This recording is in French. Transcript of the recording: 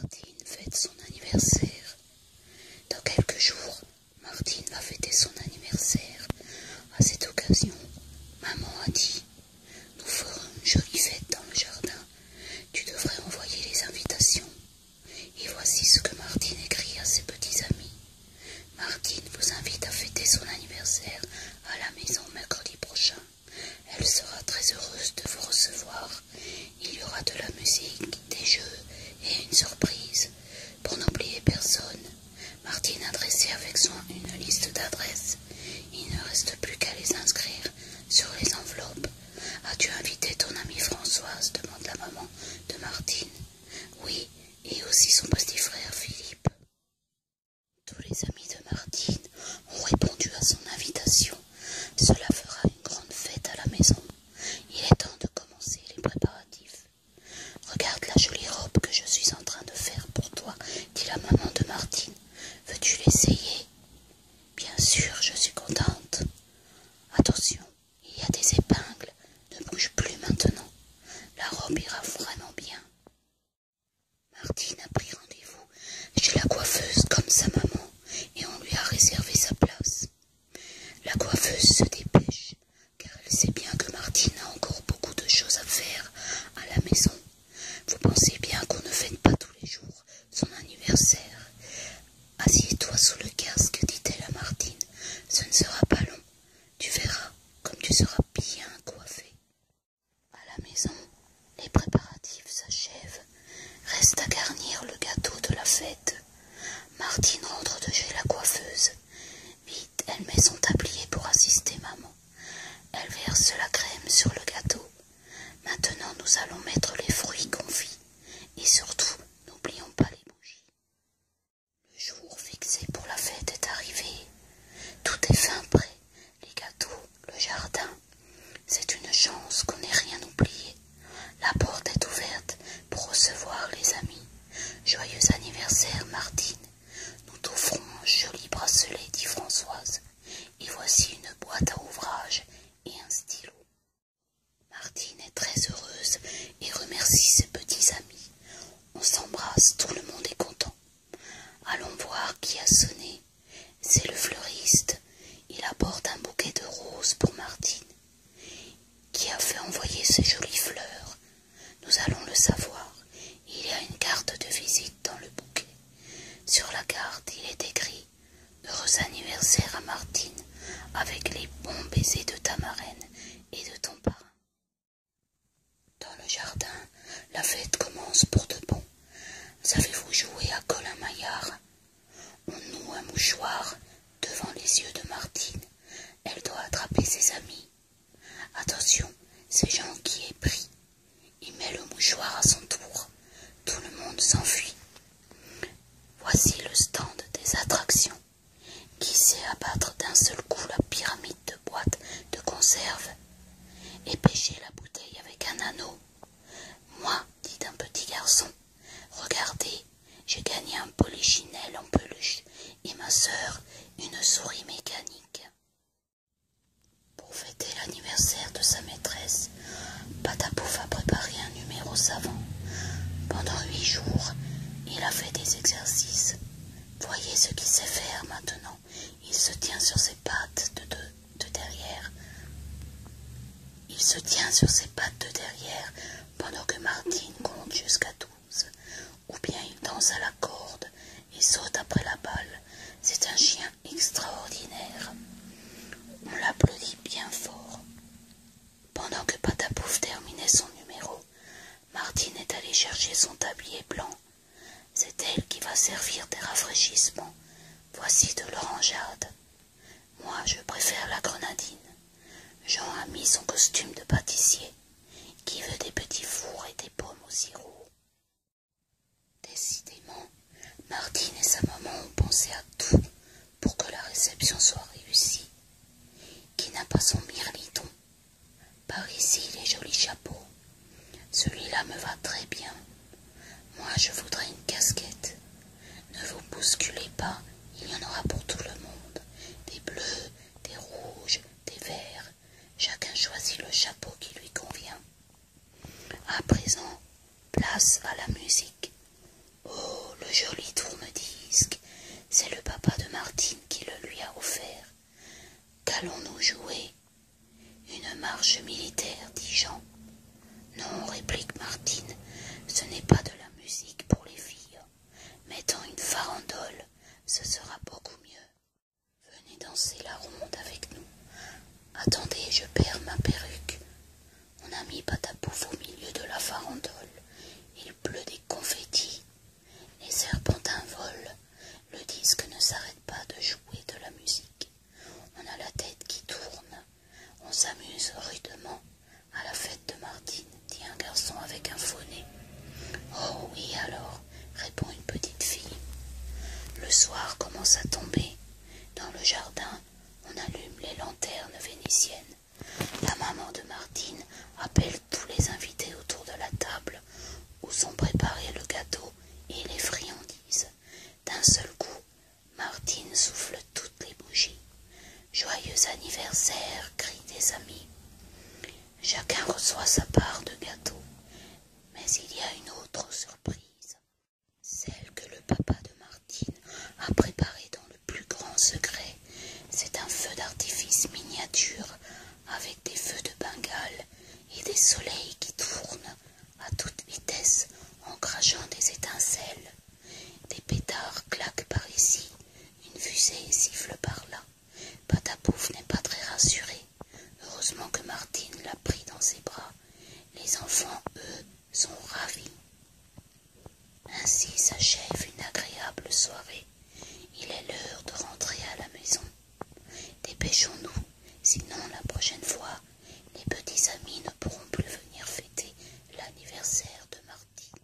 Martine fête son anniversaire. Dans quelques jours, Martine va fêter son anniversaire. À cette occasion, maman a dit Nous ferons une jolie fête dans le jardin. Tu devrais envoyer les invitations. Et voici ce que Martine écrit à ses petits amis. Martine vous invite à fêter son anniversaire à la maison mercredi prochain. Elle sera très heureuse de vous recevoir. Il y aura de la musique, des jeux et une surprise. Pour n'oublier personne, Martine a dressé avec soin une liste d'adresses. Il ne reste plus qu'à les inscrire sur les enveloppes. As-tu invité ton amie Françoise demande la maman de Martine. Oui, et aussi son petit frère Philippe. Tous les amis de Martine ont répondu à son invitation. Cela fera une grande fête à la maison. Il est temps de commencer les préparatifs. Regarde la jolie robe que je suis en train de faire pour toi, dit la maman de Martine. Veux-tu l'essayer Bien sûr, je suis contente. Attention, il y a des épingles. Ne bouge plus maintenant. La robe ira vraiment bien. Martine a pris rendez-vous chez la coiffeuse comme sa maman et on lui a réservé sa place. La coiffeuse se dépêche car elle sait bien que Martine a encore beaucoup de choses à faire à la maison. Vous pensez bien qu'on ne fête pas tous les jours son anniversaire. Assieds-toi sous le casque, dit-elle à Martine. Ce ne sera pas long. Tu verras comme tu seras bien coiffée. À la maison, les préparatifs s'achèvent. Reste à garnir le gâteau de la fête. Martine rentre de chez la coiffeuse. Vite, elle met son tablier pour assister maman. Elle verse la crème sur le gâteau. Maintenant, nous allons mettre les fruits confits. Et surtout, n'oublions pas les bougies. Le jour fixé pour la fête est arrivé. Tout est fin prêt, les gâteaux, le jardin. C'est une chance qu'on n'ait rien oublié. La porte est ouverte pour recevoir les amis. Joyeux anniversaire, Martine. Nous t'offrons un joli bracelet, dit Françoise. Et voici une boîte à ouvrage et un stylo. Martine est très heureuse et remercie ses petits amis on s'embrasse, tout le monde est content. Allons voir qui a sonné. C'est le fleuriste. Il apporte un bouquet de roses pour Martine. Qui a fait envoyer ces jolies fleurs Nous allons le savoir. Il y a une carte de visite dans le bouquet. Sur la carte, il est écrit Heureux anniversaire à Martine, avec les bons baisers de ta marraine et de ton parrain. Dans le jardin, la fête commence pour de bon. Savez-vous jouer à Colin Maillard On noue un mouchoir devant les yeux de Martine. Elle doit attraper ses amis. Attention, c'est Jean qui est pris. Il met le mouchoir à son tour. Tout le monde s'enfuit. Voici le stand des attractions qui sait abattre d'un seul coup la pyramide de boîtes de conserve et pêcher la bouteille avec un anneau. Moi, dit un petit garçon, regardez, j'ai gagné un polichinelle en peluche et ma sœur une souris mécanique. Pour fêter l'anniversaire de sa maîtresse, Patapouf a préparé numéro savant. Pendant huit jours, il a fait des exercices. Voyez ce qu'il sait faire maintenant. Il se tient sur ses pattes de derrière. Il se tient sur ses pattes de derrière pendant que Martine compte jusqu'à douze. Ou bien il danse à la corde et saute après la balle. C'est un chien extraordinaire. On l'applaudit bien fort. Pendant que Patapouf terminait son numéro, Martine est allée chercher son tablier blanc. C'est elle qui va servir des rafraîchissements. Voici de l'orangeade. Moi, je préfère la grenadine. Jean a mis son costume de pâtissier. Qui veut des petits fours et des pommes au sirop Décidément, Martine et sa maman ont pensé à tout pour que la réception soit réussie. Qui n'a pas son mirliton Par ici, les jolis chapeaux. Celui-là me va très bien. Moi, je voudrais une casquette. Ne vous bousculez pas, il y en aura pour tout le monde. Des bleus, des rouges, des verts. Chacun choisit le chapeau qui lui convient. À présent, place à la musique. Oh, le joli tourne-disque, c'est le papa de Martine qui le lui a offert. Qu'allons-nous jouer Une marche militaire, dit Jean. Non, réplique Martine, ce n'est pas de la musique pour les filles. Mettons une farandole, ce sera beaucoup mieux. Venez danser la ronde avec nous. Attendez, je perds ma perruque. On a mis Patapouf au milieu de la farandole. Il pleut des confettis. Les serpentins volent. Le disque ne s'arrête pas de jouer de la musique. On a la tête qui tourne. On s'amuse rudement à la fête de Martine, dit un garçon avec un faux nez. Oh oui alors, répond une petite fille. Le soir commence à tomber. Dans le jardin, on allume les lanternes vénitiennes. La maman de Martine appelle tous les invités autour de la table où sont préparés le gâteau et les friandises. D'un seul coup, Martine souffle toutes les bougies. Joyeux anniversaire, crient des amis. Chacun reçoit sa part de gâteau. Mais il y a une autre surprise, celle que le papa de Martine a préparée dans le plus grand secret. C'est un feu d'artifice miniature avec des feux de Bengale et des soleils qui tournent à toute vitesse en crachant des étincelles. Des pétards claquent par ici, une fusée siffle par là. Patapouf n'est pas très rassuré. Heureusement que Martine l'a pris dans ses bras. Les enfants, eux, sont ravis. Ainsi s'achève une agréable soirée. Il est l'heure de rentrer à la maison. Dépêchons-nous, sinon la prochaine fois, les petits amis ne pourront plus venir fêter l'anniversaire de Martine.